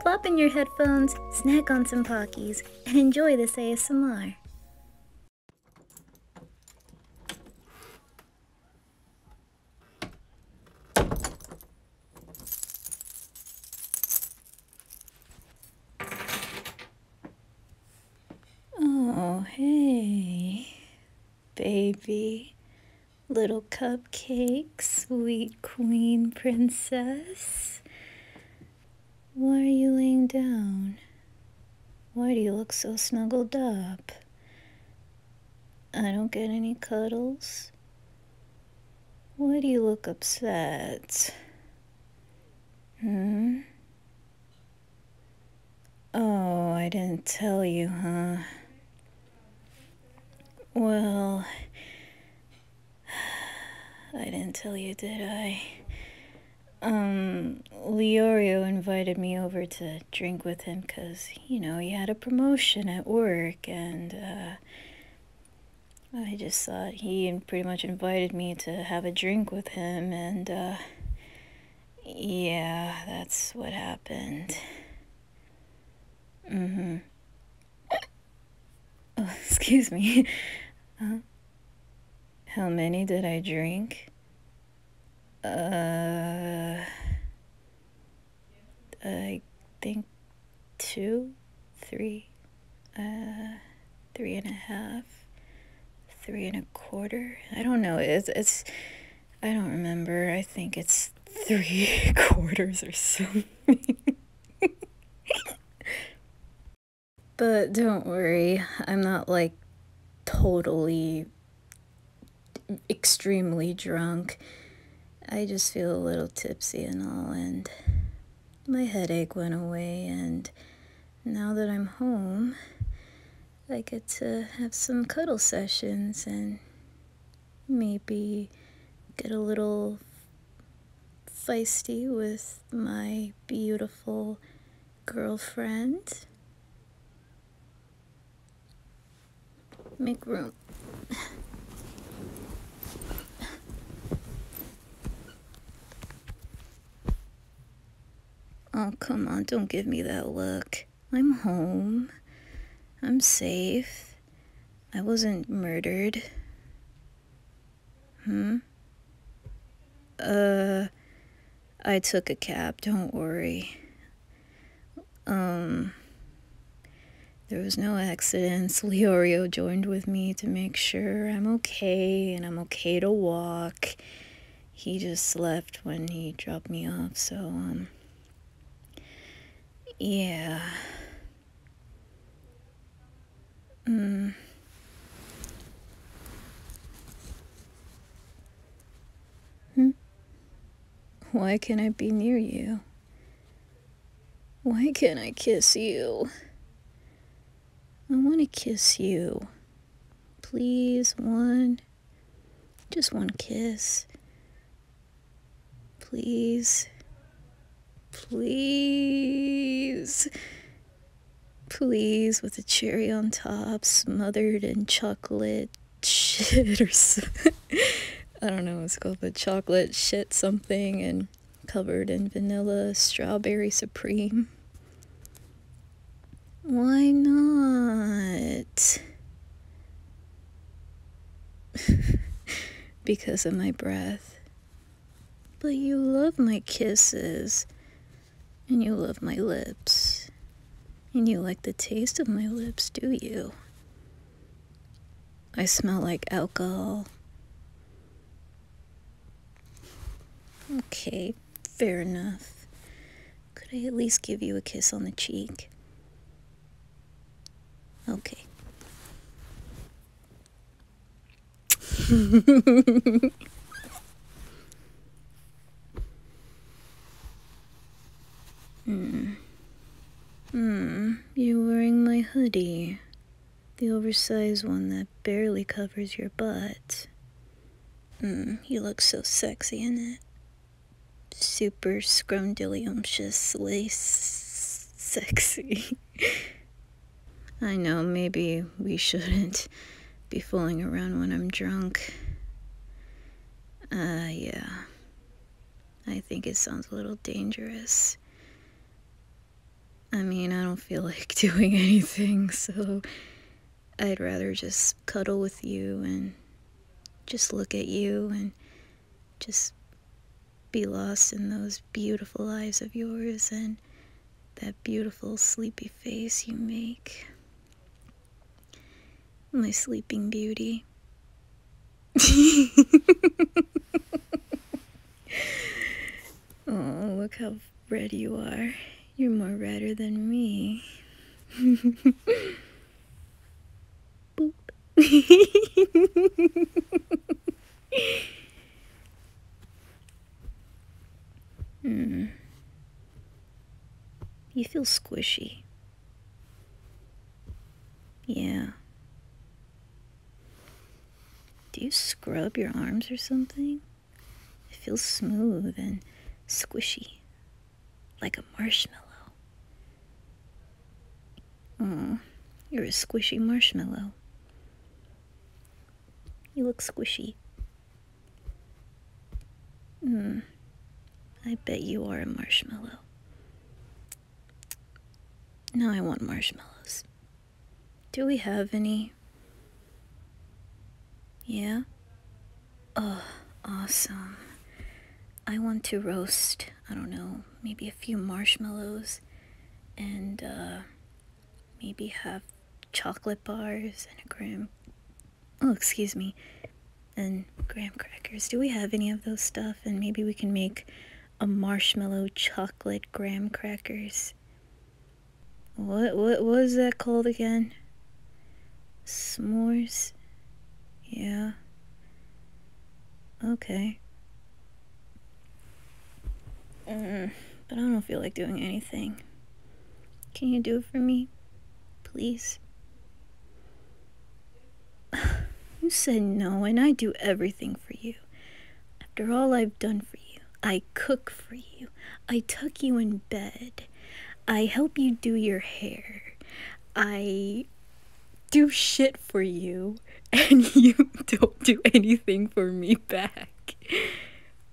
plop in your headphones, snack on some Pockies, and enjoy this ASMR. Oh, hey, baby. Little cupcake, sweet queen princess. Why are you laying down? Why do you look so snuggled up? I don't get any cuddles. Why do you look upset? Hmm? Oh, I didn't tell you, huh? Well, I didn't tell you, did I? Um, Leorio invited me over to drink with him because, you know, he had a promotion at work and, uh, I just thought he pretty much invited me to have a drink with him and, uh, yeah, that's what happened. Mm hmm. Oh, excuse me. Uh, how many did I drink? Uh, I think two, three, uh, three and a half, three and a quarter. I don't know. It's, it's, I don't remember. I think it's three quarters or something but don't worry, I'm not like totally extremely drunk. I just feel a little tipsy and all, and my headache went away, and now that I'm home, I get to have some cuddle sessions and maybe get a little feisty with my beautiful girlfriend. Make room. oh, come on, don't give me that look. I'm home. I'm safe. I wasn't murdered. Hmm? Uh, I took a cab, don't worry. Um, there was no accidents. Leorio joined with me to make sure I'm okay and I'm okay to walk. He just left when he dropped me off, so, um, yeah. Mm. Hmm? Why can't I be near you? Why can't I kiss you? I want to kiss you. Please, one. Just one kiss. Please. Please. Please, with a cherry on top, smothered in chocolate shit or so I don't know what it's called, but chocolate shit something and covered in vanilla strawberry supreme. Why not? because of my breath. But you love my kisses, and you love my lips, and you like the taste of my lips, do you? I smell like alcohol. Okay, fair enough. Could I at least give you a kiss on the cheek? Okay hmm. Hmm. You're wearing my hoodie. The oversized one that barely covers your butt. Mm, you look so sexy in it. Super scrumdiddlyumptious sexy. I know, maybe we shouldn't be fooling around when I'm drunk. Uh, yeah. I think it sounds a little dangerous. I mean, I don't feel like doing anything, so I'd rather just cuddle with you and just look at you and just be lost in those beautiful eyes of yours and that beautiful sleepy face you make. My sleeping beauty. oh, look how red you are. You're more redder than me. Boop. Hmm. You feel squishy. Yeah. Do you scrub your arms or something? It feels smooth and squishy, like a marshmallow. Oh, you're a squishy marshmallow. You look squishy. Hmm. I bet you are a marshmallow. Now I want marshmallows. Do we have any? Yeah? Oh, awesome. I want to roast, I don't know, maybe a few marshmallows and uh, maybe have chocolate bars and a graham oh excuse me and graham crackers do we have any of those stuff and maybe we can make a marshmallow chocolate graham crackers what what was that called again s'mores yeah okay uh, but I don't feel like doing anything. Can you do it for me? Please? you said no, and I do everything for you. After all I've done for you, I cook for you, I tuck you in bed, I help you do your hair, I do shit for you, and you don't do anything for me back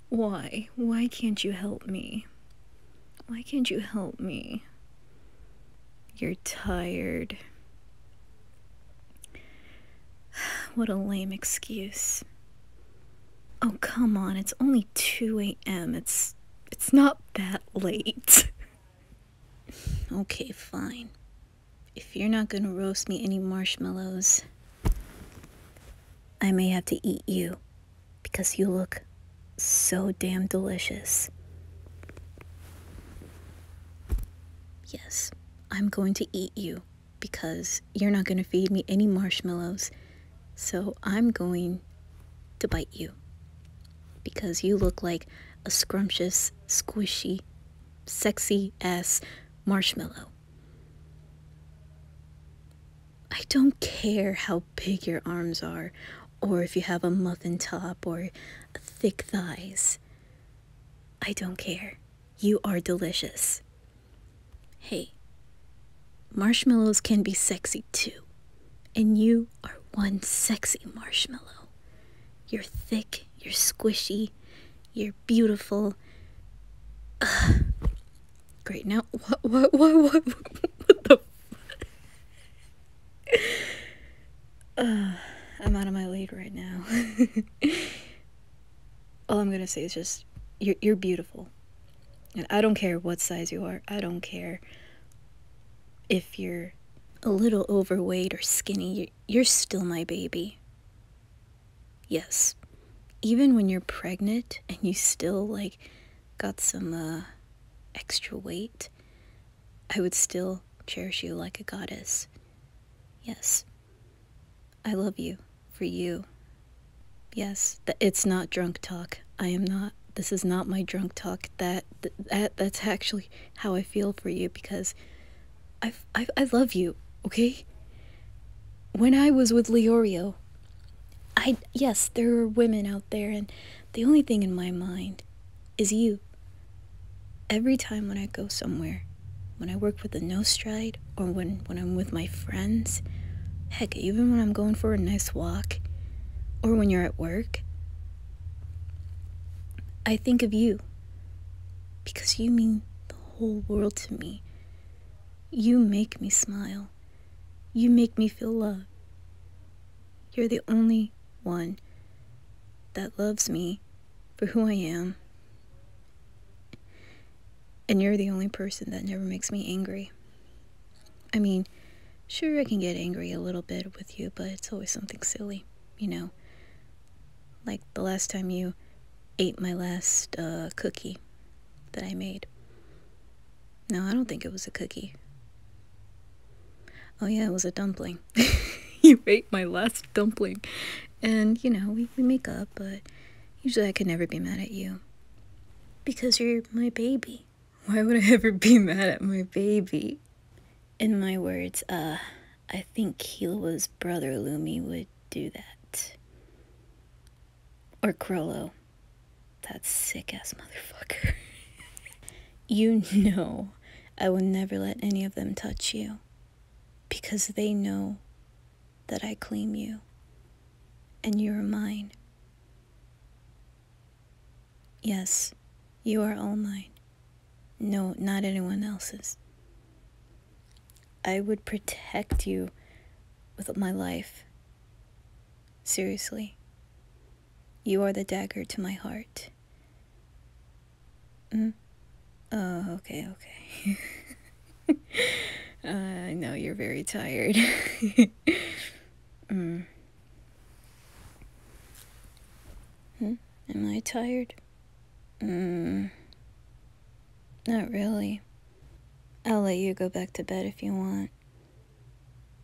why? Why can't you help me? Why can't you help me? You're tired. What a lame excuse. Oh, come on, it's only 2 a.m. It's it's not that late. okay, fine if you're not going to roast me any marshmallows, I may have to eat you because you look so damn delicious. Yes, I'm going to eat you because you're not going to feed me any marshmallows. So I'm going to bite you because you look like a scrumptious, squishy, sexy ass marshmallow. I don't care how big your arms are, or if you have a muffin top or thick thighs. I don't care. You are delicious. Hey, marshmallows can be sexy too. And you are one sexy marshmallow. You're thick, you're squishy, you're beautiful. Great. Now, what, what, what, what, what the? I'm out of my league right now. All I'm gonna say is just, you're, beautiful. And I don't care what size you are. I don't care if you're a little overweight or skinny. you're still my baby. Yes. Even when you're pregnant and you still like got some uh, extra weight, I would still cherish you like a goddess. Yes. I love you for you. Yes, that it's not drunk talk. I am not this is not my drunk talk. That that that's actually how I feel for you because I, I, I love you, okay? When I was with Leorio, I, yes, there are women out there, and the only thing in my mind is you. Every time when I go somewhere, when I work with a no stride, or when, when I'm with my friends, heck, even when I'm going for a nice walk, or when you're at work, I think of you because you mean the whole world to me. You make me smile. You make me feel loved. You're the only one that loves me for who I am. And you're the only person that never makes me angry. I mean, sure, I can get angry a little bit with you, but it's always something silly, you know. Like the last time you ate my last uh, cookie that I made. No, I don't think it was a cookie. Oh, yeah, it was a dumpling. you ate my last dumpling. And, you know, we, we make up, but usually I could never be mad at you. Because you're my baby. Why would I ever be mad at my baby? In my words, uh, I think Kila's brother Lumi would do that. Or Krollo. That sick ass motherfucker. you know I will never let any of them touch you because they know that I claim you and you are mine. Yes, you are all mine. No, not anyone else's. I would protect you with my life. Seriously. You are the dagger to my heart. Mm? Oh, okay, okay. I know you're very tired. mm. Hmm? Am I tired? Mm. Not really. I'll let you go back to bed if you want.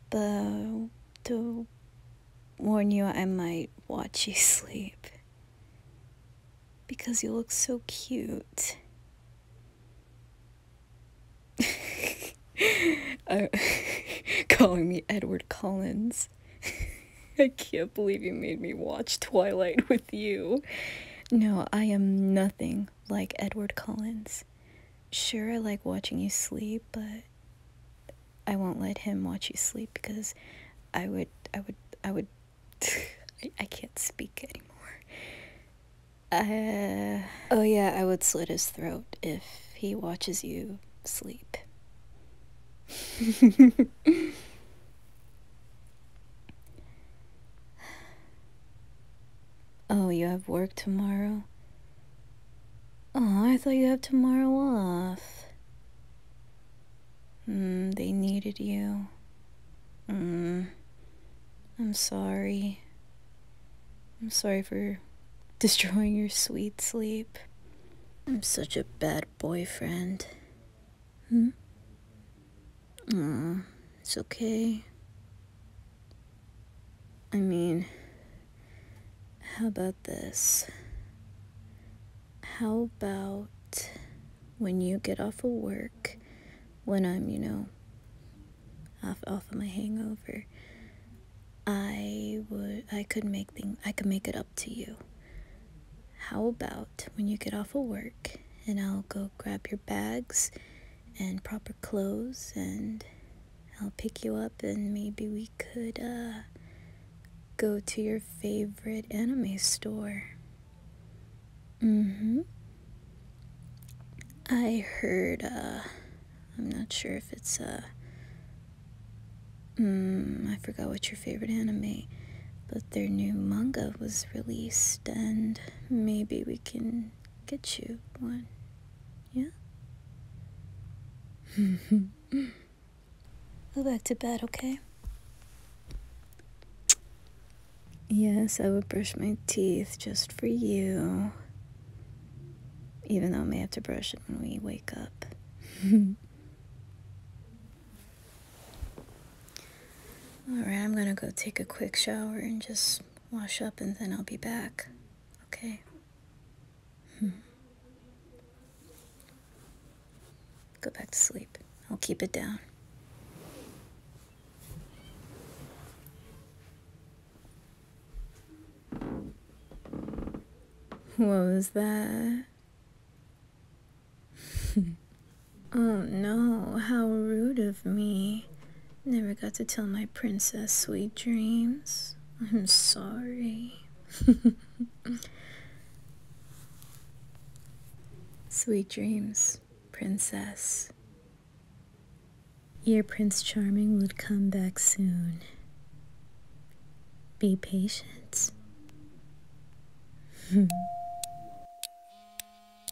But to warn you, I might watch you sleep. Because you look so cute. uh, calling me Edward Collins. I can't believe you made me watch Twilight with you. No, I am nothing like Edward Collins. Sure, I like watching you sleep, but I won't let him watch you sleep because I would, I would, I would, I, can't speak anymore. Uh, oh yeah, I would slit his throat if he watches you sleep. Oh, you have work tomorrow? Oh, I thought you have tomorrow off. Mm, they needed you. Mm, I'm sorry. I'm sorry for destroying your sweet sleep. I'm such a bad boyfriend. Hmm? Aw, it's okay. I mean, how about this? How about when you get off of work, when I'm, you know, off off of my hangover, I would I could make things I could make it up to you. How about when you get off of work? and I'll go grab your bags and proper clothes and I'll pick you up and maybe we could uh, go to your favorite anime store. Mm-hmm. I heard, uh, I'm not sure if it's, uh, mm, I forgot what your favorite anime, but their new manga was released, and maybe we can get you one. Yeah? Go back to bed, okay? Yes, I would brush my teeth just for you. Even though I may have to brush it when we wake up. Alright, I'm gonna go take a quick shower and just wash up and then I'll be back. Okay? Hmm. Go back to sleep. I'll keep it down. What was that? oh no, how rude of me. Never got to tell my princess sweet dreams. I'm sorry. Sweet dreams, princess. Your Prince Charming would come back soon. Be patient.